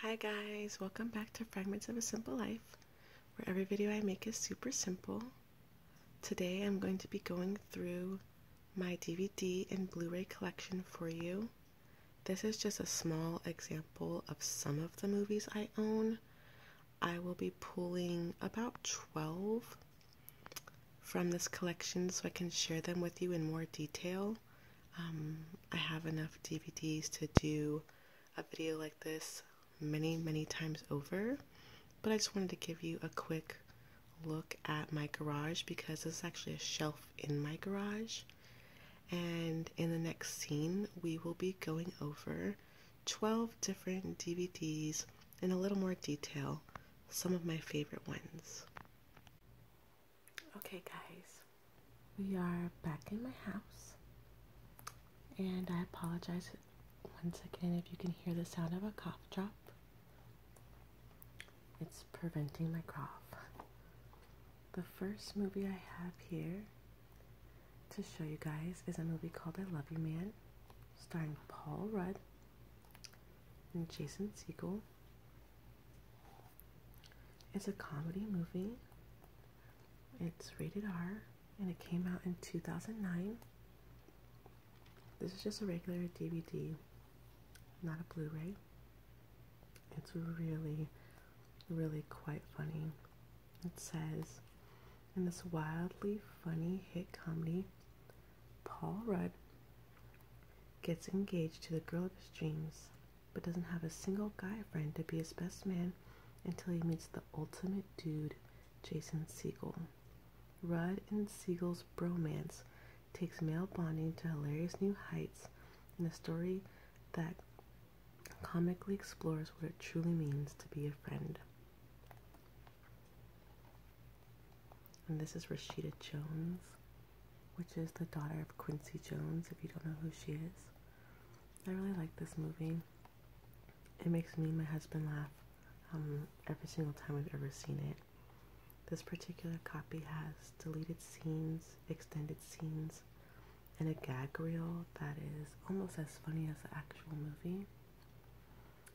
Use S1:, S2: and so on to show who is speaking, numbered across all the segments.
S1: Hi guys, welcome back to Fragments of a Simple Life, where every video I make is super simple. Today I'm going to be going through my DVD and Blu-ray collection for you. This is just a small example of some of the movies I own. I will be pulling about 12 from this collection so I can share them with you in more detail. Um, I have enough DVDs to do a video like this many, many times over, but I just wanted to give you a quick look at my garage because this is actually a shelf in my garage. And in the next scene, we will be going over 12 different DVDs in a little more detail, some of my favorite ones. Okay, guys, we are back in my house, and I apologize once again if you can hear the sound of a cough drop. It's preventing my cough. The first movie I have here to show you guys is a movie called I Love You Man, starring Paul Rudd and Jason Segel. It's a comedy movie. It's rated R and it came out in 2009. This is just a regular DVD, not a Blu ray. It's really, really quite funny. It says, in this wildly funny hit comedy, Paul Rudd gets engaged to the girl of his dreams, but doesn't have a single guy friend to be his best man until he meets the ultimate dude, Jason Siegel. Rudd and Siegel's bromance takes male bonding to hilarious new heights in a story that comically explores what it truly means to be a friend. And this is Rashida Jones, which is the daughter of Quincy Jones, if you don't know who she is. I really like this movie. It makes me and my husband laugh um, every single time we've ever seen it. This particular copy has deleted scenes, extended scenes, and a gag reel that is almost as funny as the actual movie.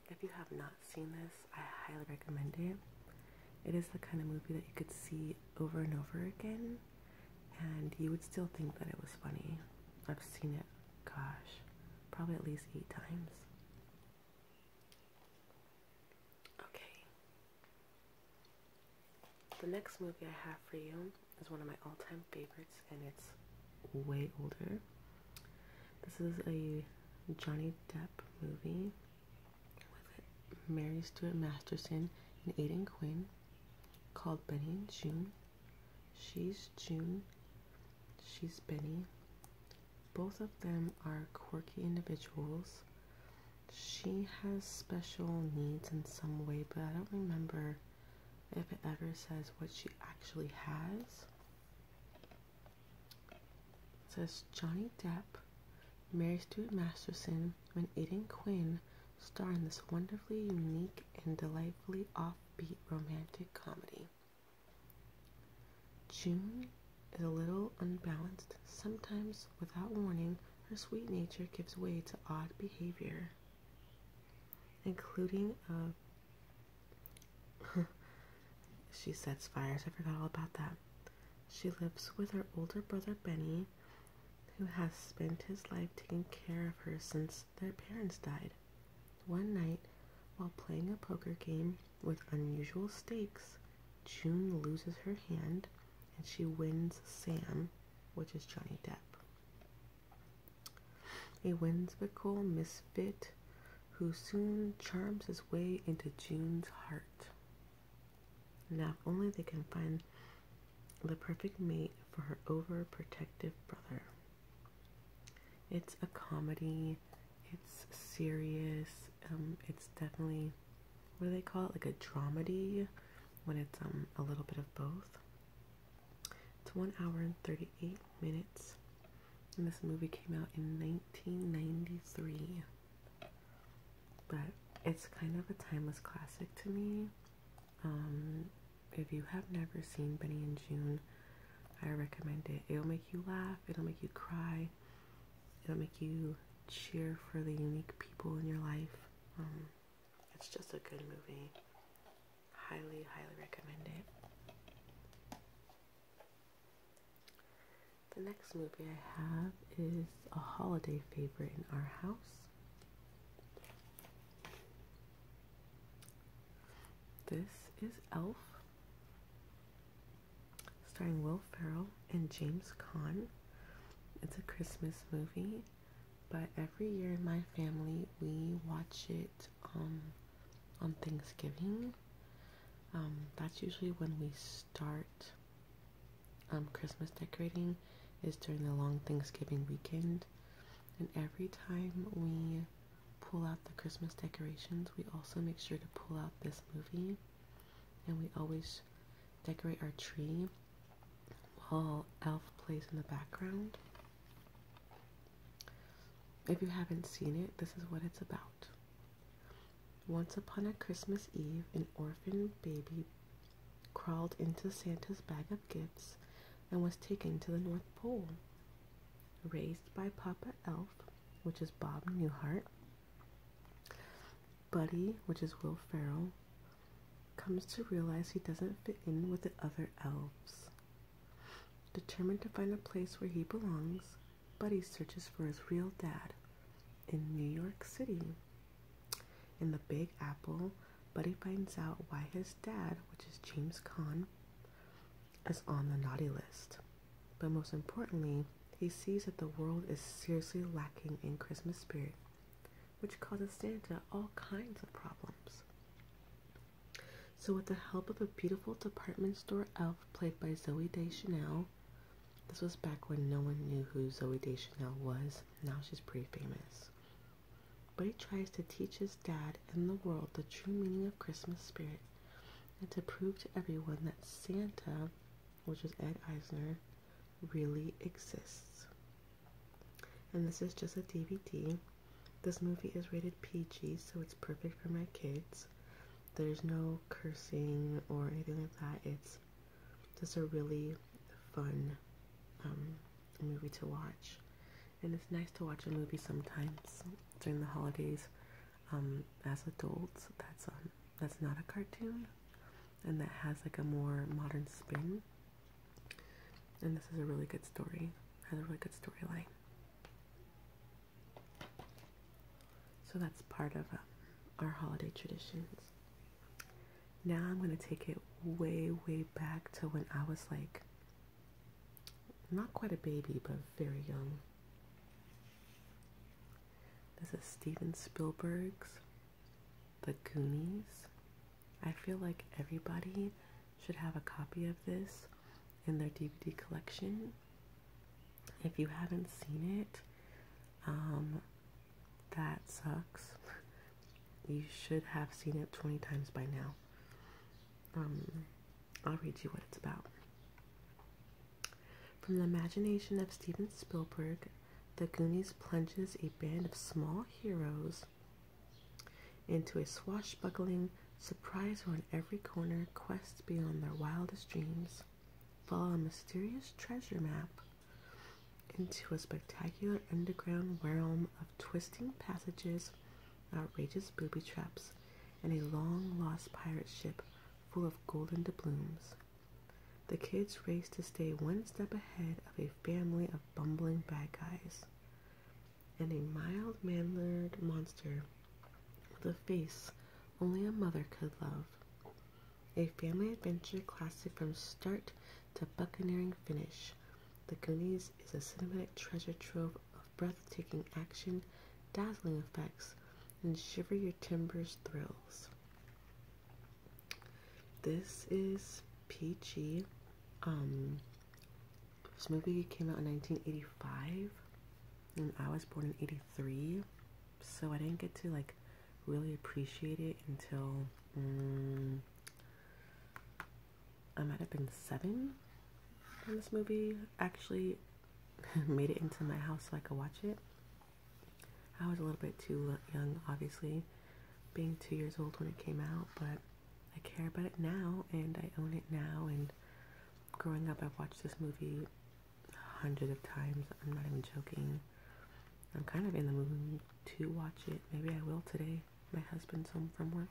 S1: If you have not seen this, I highly recommend it. It is the kind of movie that you could see over and over again, and you would still think that it was funny. I've seen it, gosh, probably at least eight times. Okay. The next movie I have for you is one of my all time favorites, and it's way older. This is a Johnny Depp movie. Mary Stuart Masterson and Aidan Quinn called Benny and June. She's June, she's Benny. Both of them are quirky individuals. She has special needs in some way, but I don't remember if it ever says what she actually has. It says Johnny Depp Mary Stuart Masterson, when Aidan Quinn, star in this wonderfully unique and delightfully offbeat romantic comedy. June is a little unbalanced. Sometimes, without warning, her sweet nature gives way to odd behavior, including a. she sets fires. I forgot all about that. She lives with her older brother Benny, who has spent his life taking care of her since their parents died. One night, while playing a poker game with unusual stakes, June loses her hand and she wins Sam, which is Johnny Depp. A whimsical misfit who soon charms his way into June's heart. Now, if only they can find the perfect mate for her overprotective brother. It's a comedy, it's serious, um, it's definitely, what do they call it, like a dramedy, when it's um, a little bit of both. It's 1 hour and 38 minutes, and this movie came out in 1993 but it's kind of a timeless classic to me. Um, if you have never seen Benny and June, I recommend it. It'll make you laugh, it'll make you cry, it'll make you cheer for the unique people in your life. Um, it's just a good movie. Highly, highly recommend it. The next movie I have is a holiday favorite in our house. This is Elf, starring Will Ferrell and James Caan. It's a Christmas movie, but every year in my family we watch it um, on Thanksgiving. Um, that's usually when we start um, Christmas decorating is during the long Thanksgiving weekend. And every time we pull out the Christmas decorations, we also make sure to pull out this movie. And we always decorate our tree while Elf plays in the background. If you haven't seen it, this is what it's about. Once upon a Christmas Eve, an orphan baby crawled into Santa's bag of gifts and was taken to the North Pole. Raised by Papa Elf, which is Bob Newhart, Buddy, which is Will Ferrell, comes to realize he doesn't fit in with the other elves. Determined to find a place where he belongs, Buddy searches for his real dad in New York City. In the Big Apple, Buddy finds out why his dad, which is James Kahn, is on the naughty list. But most importantly, he sees that the world is seriously lacking in Christmas spirit, which causes Santa all kinds of problems. So, with the help of a beautiful department store elf played by Zoe Deschanel, this was back when no one knew who Zoe Deschanel was. Now she's pretty famous. But he tries to teach his dad and the world the true meaning of Christmas spirit and to prove to everyone that Santa, which is Ed Eisner, really exists. And this is just a DVD. This movie is rated PG, so it's perfect for my kids. There's no cursing or anything like that. It's just a really fun um, movie to watch. And it's nice to watch a movie sometimes during the holidays um, as adults. That's um, that's not a cartoon and that has like a more modern spin. And this is a really good story. Has a really good storyline. So that's part of um, our holiday traditions. Now I'm going to take it way, way back to when I was like, not quite a baby, but very young. This is Steven Spielberg's The Goonies. I feel like everybody should have a copy of this in their DVD collection. If you haven't seen it, um, that sucks. You should have seen it 20 times by now. Um, I'll read you what it's about. From the imagination of Steven Spielberg, The Goonies plunges a band of small heroes into a swashbuckling surprise around every corner quest beyond their wildest dreams follow a mysterious treasure map into a spectacular underground realm of twisting passages, outrageous booby traps, and a long lost pirate ship full of golden doubloons. The kids race to stay one step ahead of a family of bumbling bad guys. And a mild mannered monster the face only a mother could love. A family adventure classic from start to buccaneering finish, The Goonies is a cinematic treasure trove of breathtaking action, dazzling effects, and shiver your timbers thrills. This is PG. Um, this movie came out in 1985, and I was born in three, so I didn't get to like really appreciate it until mm, I might have been seven when this movie actually made it into my house so I could watch it. I was a little bit too young, obviously, being two years old when it came out, but I care about it now and I own it now. And growing up, i watched this movie hundreds of times. I'm not even joking. I'm kind of in the mood to watch it. Maybe I will today. My husband's home from work.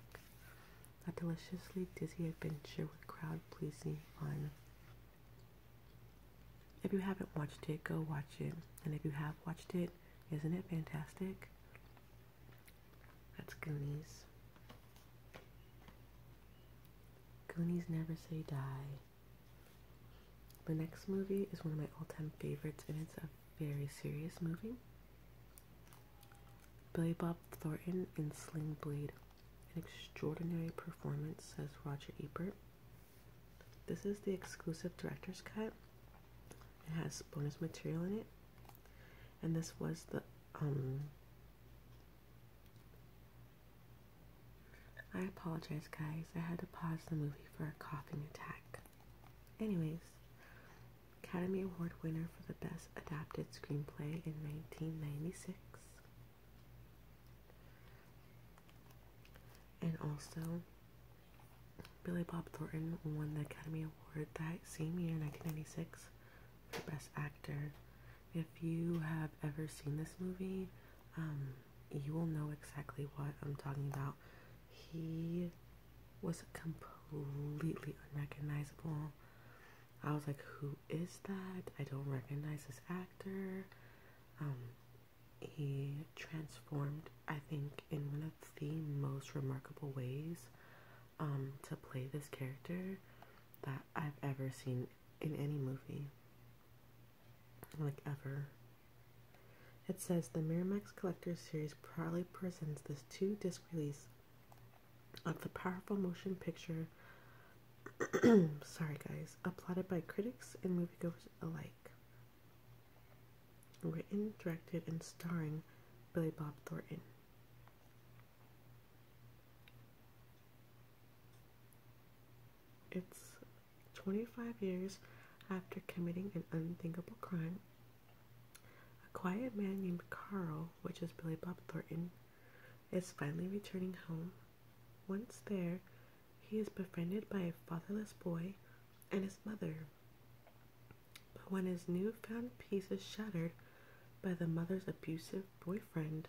S1: A deliciously dizzy adventure with crowd pleasing fun. If you haven't watched it, go watch it. And if you have watched it, isn't it fantastic? That's Goonies. Goonies Never Say Die. The next movie is one of my all time favorites, and it's a very serious movie. Billy Bob Thornton in Sling Blade. An extraordinary performance, says Roger Ebert. This is the exclusive director's cut. It has bonus material in it. And this was the um, I apologize, guys. I had to pause the movie for a coughing attack. Anyways, Academy Award winner for the Best Adapted Screenplay in 1996. And also, Billy Bob Thornton won the Academy Award that same year, 1996, Best Actor. If you have ever seen this movie, um, you will know exactly what I'm talking about. He was completely unrecognizable. I was like, who is that? I don't recognize this actor. Um, he transformed, I think, in one of the most remarkable ways um, to play this character that I've ever seen in any movie. Like, ever. It says the Miramax Collector's Series proudly presents this two disc release of the powerful motion picture. sorry, guys. Applauded by critics and moviegoers alike. Written, directed, and starring Billy Bob Thornton. It's 25 years after committing an unthinkable crime. A quiet man named Carl, which is Billy Bob Thornton, is finally returning home. Once there, he is befriended by a fatherless boy and his mother. But when his newfound peace is shattered by the mother's abusive boyfriend.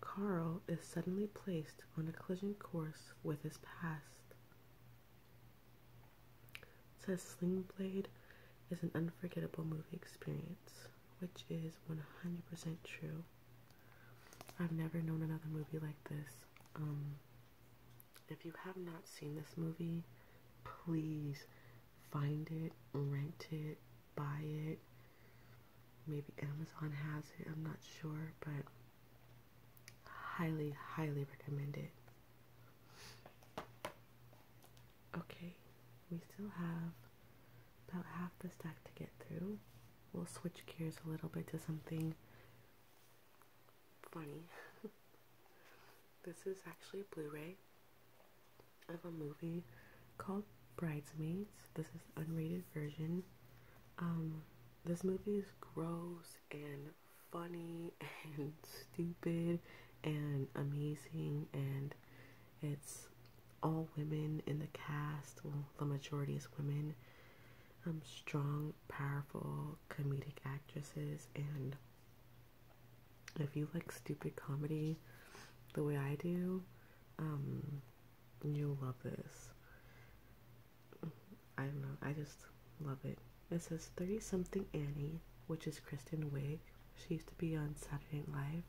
S1: Carl is suddenly placed on a collision course with his past. It says Sling Blade is an unforgettable movie experience, which is 100% true. I've never known another movie like this. Um, if you have not seen this movie, please find it, rent it, buy it. Maybe Amazon has it, I'm not sure, but highly, highly recommend it. Okay, we still have about half the stack to get through. We'll switch gears a little bit to something funny. This is actually a Blu-ray of a movie called Bridesmaids. This is the unrated version. Um, this movie is gross and funny and stupid and amazing and it's all women in the cast. Well, the majority is women. Um, strong, powerful, comedic actresses and if you like stupid comedy the way I do, um, you'll love this. I don't know, I just love it. It says 30 something Annie, which is Kristen Wiig. She used to be on Saturday Night Live.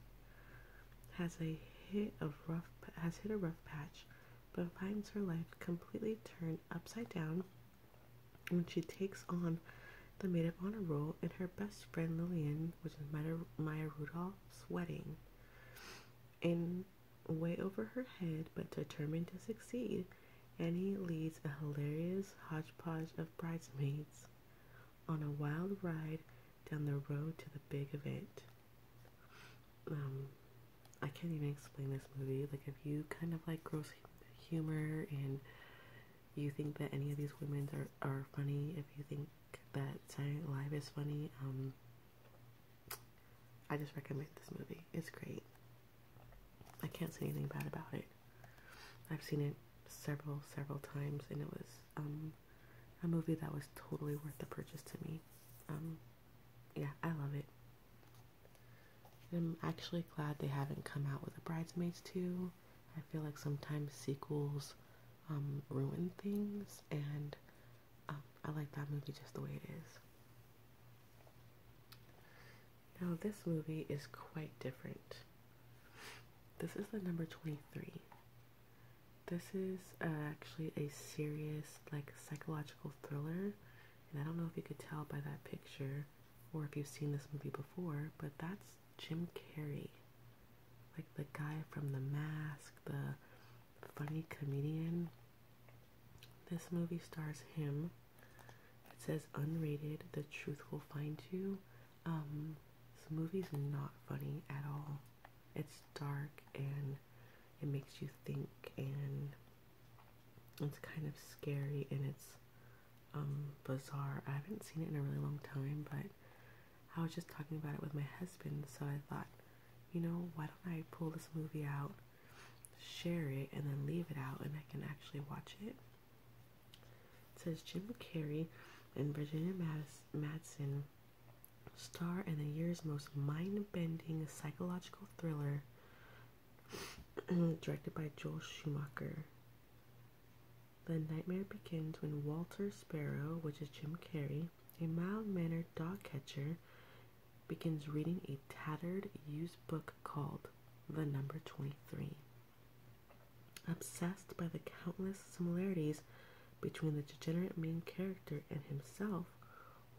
S1: Has a hit of rough has hit a rough patch, but finds her life completely turned upside down when she takes on the maid of honor role in her best friend Lillian, which is Maya, Maya Rudolph's wedding. In way over her head, but determined to succeed, Annie leads a hilarious hodgepodge of bridesmaids on a wild ride down the road to the big event. Um, I can't even explain this movie. Like, if you kind of like gross humor and you think that any of these women are, are funny, if you think that Silent Live is funny, um, I just recommend this movie. It's great. I can't say anything bad about it. I've seen it several, several times, and it was um, a movie that was totally worth the purchase to me. Um, yeah, I love it. I'm actually glad they haven't come out with a Bridesmaids too. I feel like sometimes sequels um, ruin things, and um, I like that movie just the way it is. Now, this movie is quite different. This is the number 23. This is uh, actually a serious, like, psychological thriller. And I don't know if you could tell by that picture or if you've seen this movie before, but that's Jim Carrey, like the guy from The Mask, the funny comedian. This movie stars him. It says unrated. The truth will find you. Um, this movie's not funny at all. It's dark and it makes you think, and it's kind of scary, and it's um, bizarre. I haven't seen it in a really long time, but I was just talking about it with my husband, so I thought, you know, why don't I pull this movie out, share it, and then leave it out, and I can actually watch it. It says Jim Carrey and Virginia Madsen star in the year's most mind-bending psychological thriller, directed by Joel Schumacher. The nightmare begins when Walter Sparrow, which is Jim Carrey, a mild mannered dog catcher, begins reading a tattered, used book called The Number 23. Obsessed by the countless similarities between the degenerate main character and himself,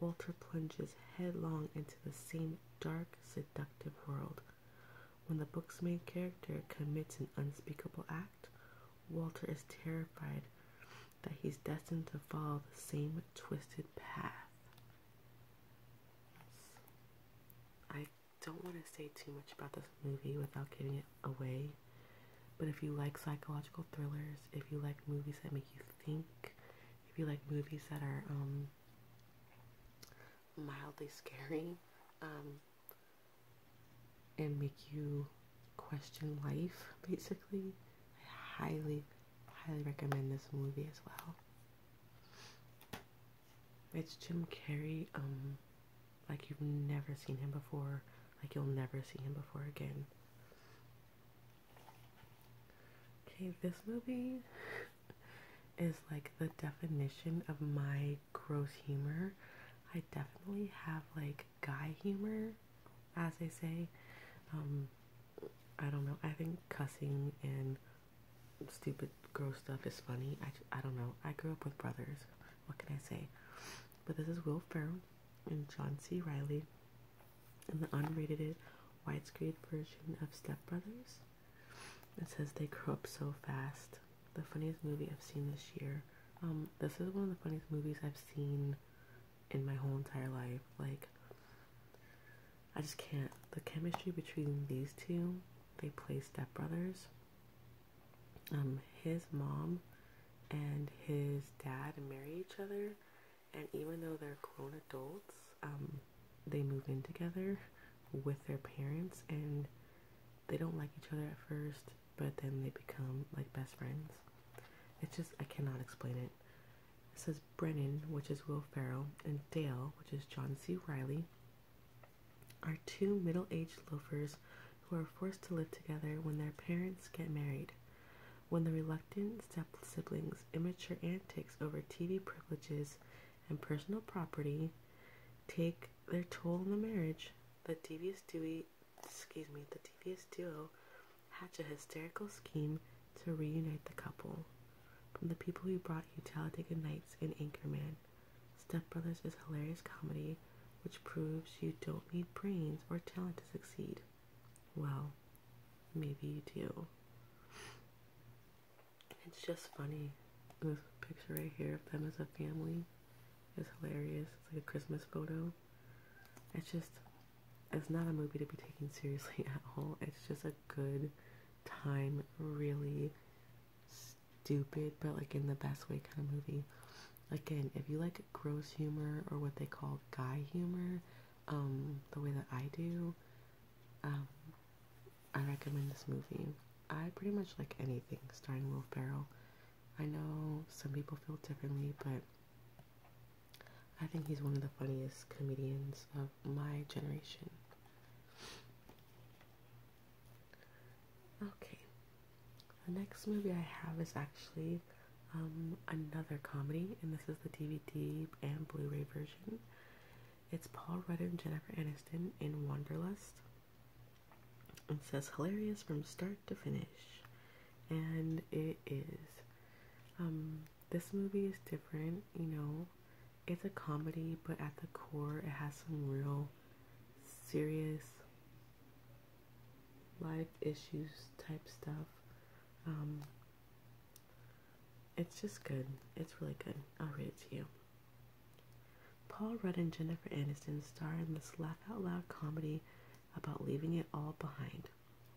S1: Walter plunges headlong into the same dark, seductive world when the book's main character commits an unspeakable act, Walter is terrified that he's destined to follow the same twisted path. I don't want to say too much about this movie without giving it away, but if you like psychological thrillers, if you like movies that make you think, if you like movies that are um, mildly scary um, and make you question life, basically. I highly, highly recommend this movie as well. It's Jim Carrey, um, like you've never seen him before, like you'll never see him before again. Okay, this movie is like the definition of my gross humor. I definitely have like guy humor, as they say. Um, I don't know. I think cussing and stupid, gross stuff is funny. I, I don't know. I grew up with brothers. What can I say? But this is Will Ferrell and John C. Riley in the unrated widescreen version of Step Brothers. It says they grow up so fast. The funniest movie I've seen this year. Um, this is one of the funniest movies I've seen in my whole entire life. Like, I just can't. The chemistry between these two, they play stepbrothers. Um, his mom and his dad marry each other, and even though they're grown adults, um, they move in together with their parents and they don't like each other at first, but then they become like best friends. It's just, I cannot explain it. It says Brennan, which is Will Ferrell, and Dale, which is John C. Riley, are two middle aged loafers who are forced to live together when their parents get married. When the reluctant step siblings' immature antics over TV privileges and personal property take their toll on the marriage. The devious Dewey, excuse me, the devious duo hatch a hysterical scheme to reunite the couple. From the people who brought you Talladega Nights and Anchorman, Step Brothers is hilarious comedy which proves you don't need brains or talent to succeed. Well, maybe you do. It's just funny. This picture right here of them as a family is hilarious. It's like a Christmas photo. It's just, it's not a movie to be taken seriously at all. It's just a good time, really stupid, but like in the best way kind of movie. Again, if you like gross humor or what they call guy humor, um, the way that I do, um, I recommend this movie. I pretty much like anything starring Will Ferrell. I know some people feel differently, but I think he's one of the funniest comedians of my generation. Okay, the next movie I have is actually um, another comedy, and this is the DVD and Blu ray version. It's Paul Rudd and Jennifer Aniston in Wanderlust. It says hilarious from start to finish, and it is. Um, this movie is different, you know. It's a comedy, but at the core, it has some real serious life issues type stuff. Um, it's just good. It's really good. I'll read it to you. Paul Rudd and Jennifer Aniston star in this laugh out loud comedy about leaving it all behind.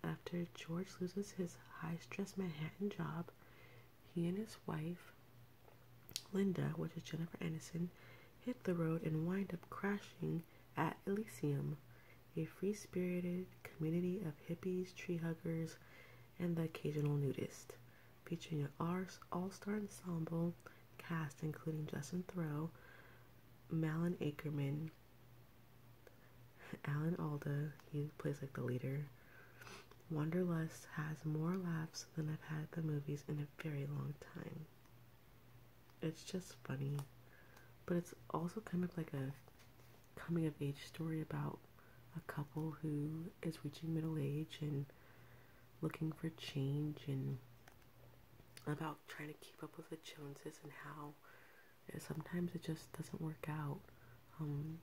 S1: After George loses his high stress Manhattan job, he and his wife, Linda, which is Jennifer Aniston, hit the road and wind up crashing at Elysium, a free spirited community of hippies, tree huggers, and the occasional nudist. Featuring an all-star ensemble cast including Justin Thoreau, Malin Akerman, Alan Alda, he plays like the leader. Wanderlust has more laughs than I've had at the movies in a very long time. It's just funny, but it's also kind of like a coming of age story about a couple who is reaching middle age and looking for change and about trying to keep up with the Joneses and how sometimes it just doesn't work out um,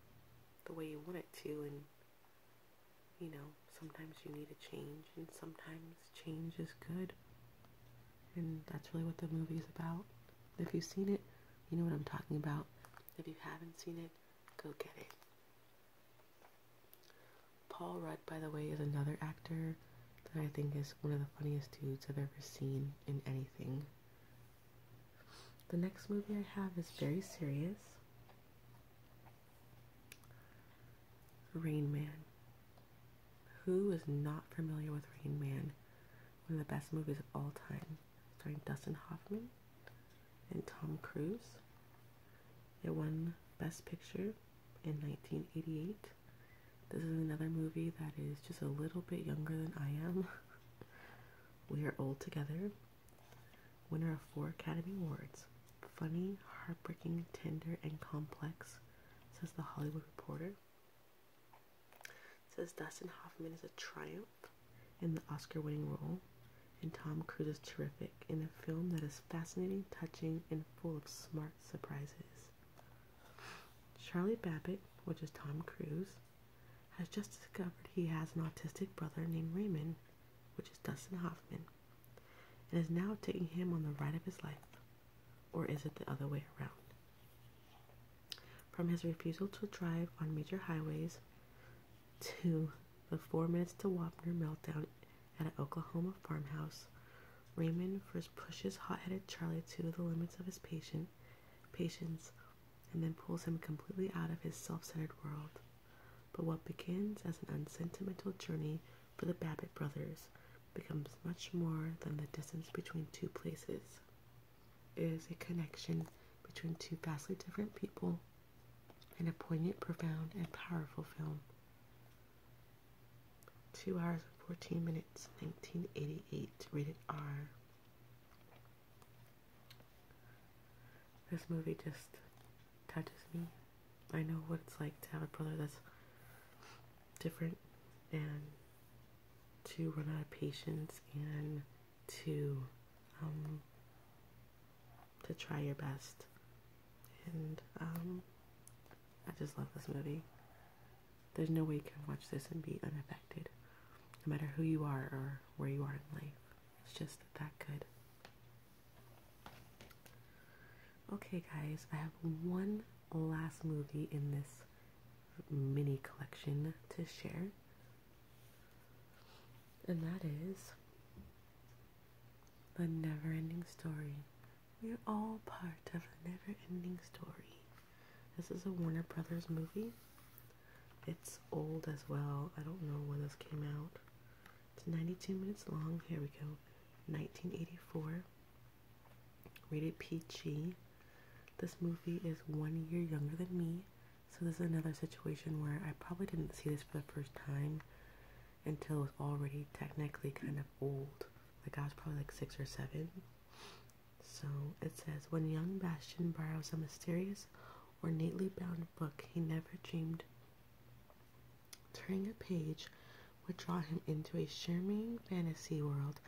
S1: the way you want it to and you know sometimes you need a change and sometimes change is good and that's really what the movie is about if you've seen it you know what i'm talking about if you haven't seen it go get it. Paul Rudd, by the way, is another actor that I think is one of the funniest dudes I've ever seen in anything. The next movie I have is very serious Rain Man. Who is not familiar with Rain Man? One of the best movies of all time starring Dustin Hoffman and Tom Cruise. It won Best Picture in 1988. This is another movie that is just a little bit younger than I am. we Are Old Together. Winner of four Academy Awards. Funny, heartbreaking, tender, and complex, says The Hollywood Reporter says Dustin Hoffman is a triumph in the Oscar winning role, and Tom Cruise is terrific in a film that is fascinating, touching, and full of smart surprises. Charlie Babbitt, which is Tom Cruise, has just discovered he has an autistic brother named Raymond, which is Dustin Hoffman, and is now taking him on the ride of his life. Or is it the other way around? From his refusal to drive on major highways to the four minutes to Wapner meltdown at an Oklahoma farmhouse, Raymond first pushes hot-headed Charlie to the limits of his patient, patience and then pulls him completely out of his self-centered world. But what begins as an unsentimental journey for the Babbitt brothers becomes much more than the distance between two places is a connection between two vastly different people and a poignant, profound, and powerful film. 2 hours and 14 minutes, 1988, rated R. This movie just touches me. I know what it's like to have a brother that's different and to run out of patience and to um, to try your best. And um, I just love this movie. There's no way you can watch this and be unaffected, no matter who you are or where you are in life. It's just that good. Okay, guys, I have one last movie in this mini collection to share. And that is the never ending story. We are all part of a never ending story. This is a Warner Brothers movie. It's old as well. I don't know when this came out. It's 92 minutes long. Here we go. 1984. Rated PG. This movie is one year younger than me. So this is another situation where I probably didn't see this for the first time until it was already technically kind of old. Like I was probably like six or seven. So it says, when young Bastion borrows a mysterious, or neatly bound book he never dreamed, turning a page would draw him into a shimmering fantasy world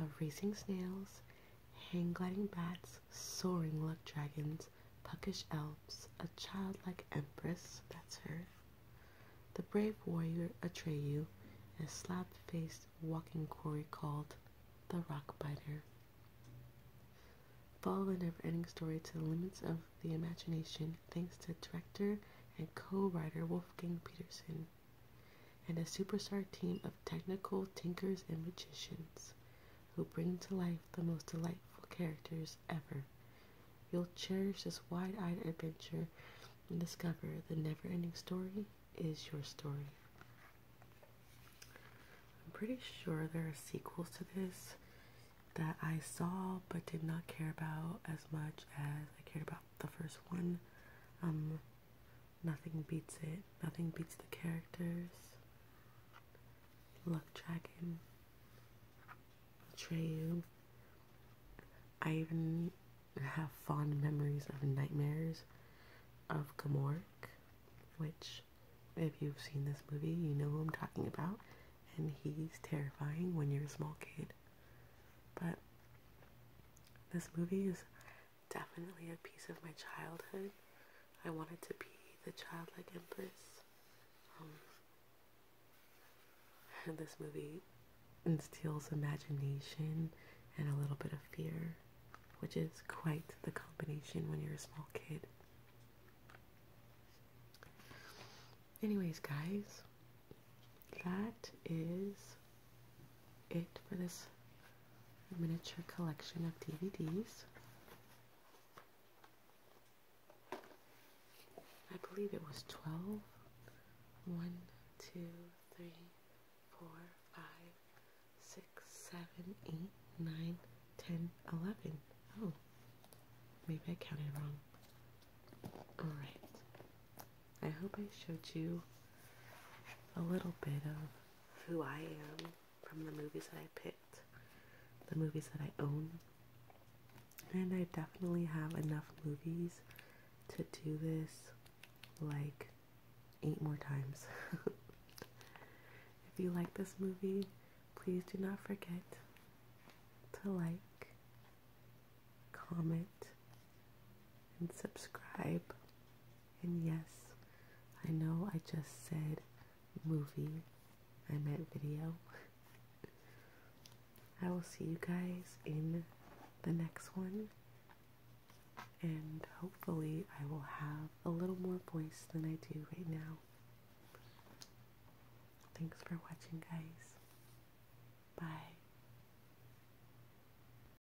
S1: of racing snails, hang gliding bats, soaring luck dragons, puckish elves, a childlike empress, that's her, the brave warrior Atreyu, and a slab faced walking quarry called the Rockbiter. Biter. Follow the never ending story to the limits of the imagination thanks to director and co writer Wolfgang Peterson and a superstar team of technical tinkers and magicians who bring to life the most delightful characters ever. You'll cherish this wide eyed adventure and discover the never ending story is your story. I'm pretty sure there are sequels to this that I saw but did not care about as much as I cared about the first one. Um, Nothing beats it. Nothing beats the characters. Luck Dragon. you. I even have fond memories of nightmares of Gamork, which, if you've seen this movie, you know who I'm talking about, and he's terrifying when you're a small kid. But this movie is definitely a piece of my childhood. I wanted to be the childlike empress. Um, this movie instills imagination and a little bit of fear, which is quite the combination when you're a small kid. Anyways, guys, that is it for this miniature collection of DVDs. I believe it was 12. 1, 2, 3, 4, 5, 6, 7, 8, 9, 10, 11. Oh, maybe I counted wrong. Alright. I hope I showed you a little bit of who I am from the movies that I picked, the movies that I own. And I definitely have enough movies to do this like eight more times. if you like this movie, please do not forget to like, comment, and subscribe. And yes, I know I just said movie, I meant video. I will see you guys in the next one. And hopefully, I will have a little more voice than I do right now. Thanks for watching, guys. Bye.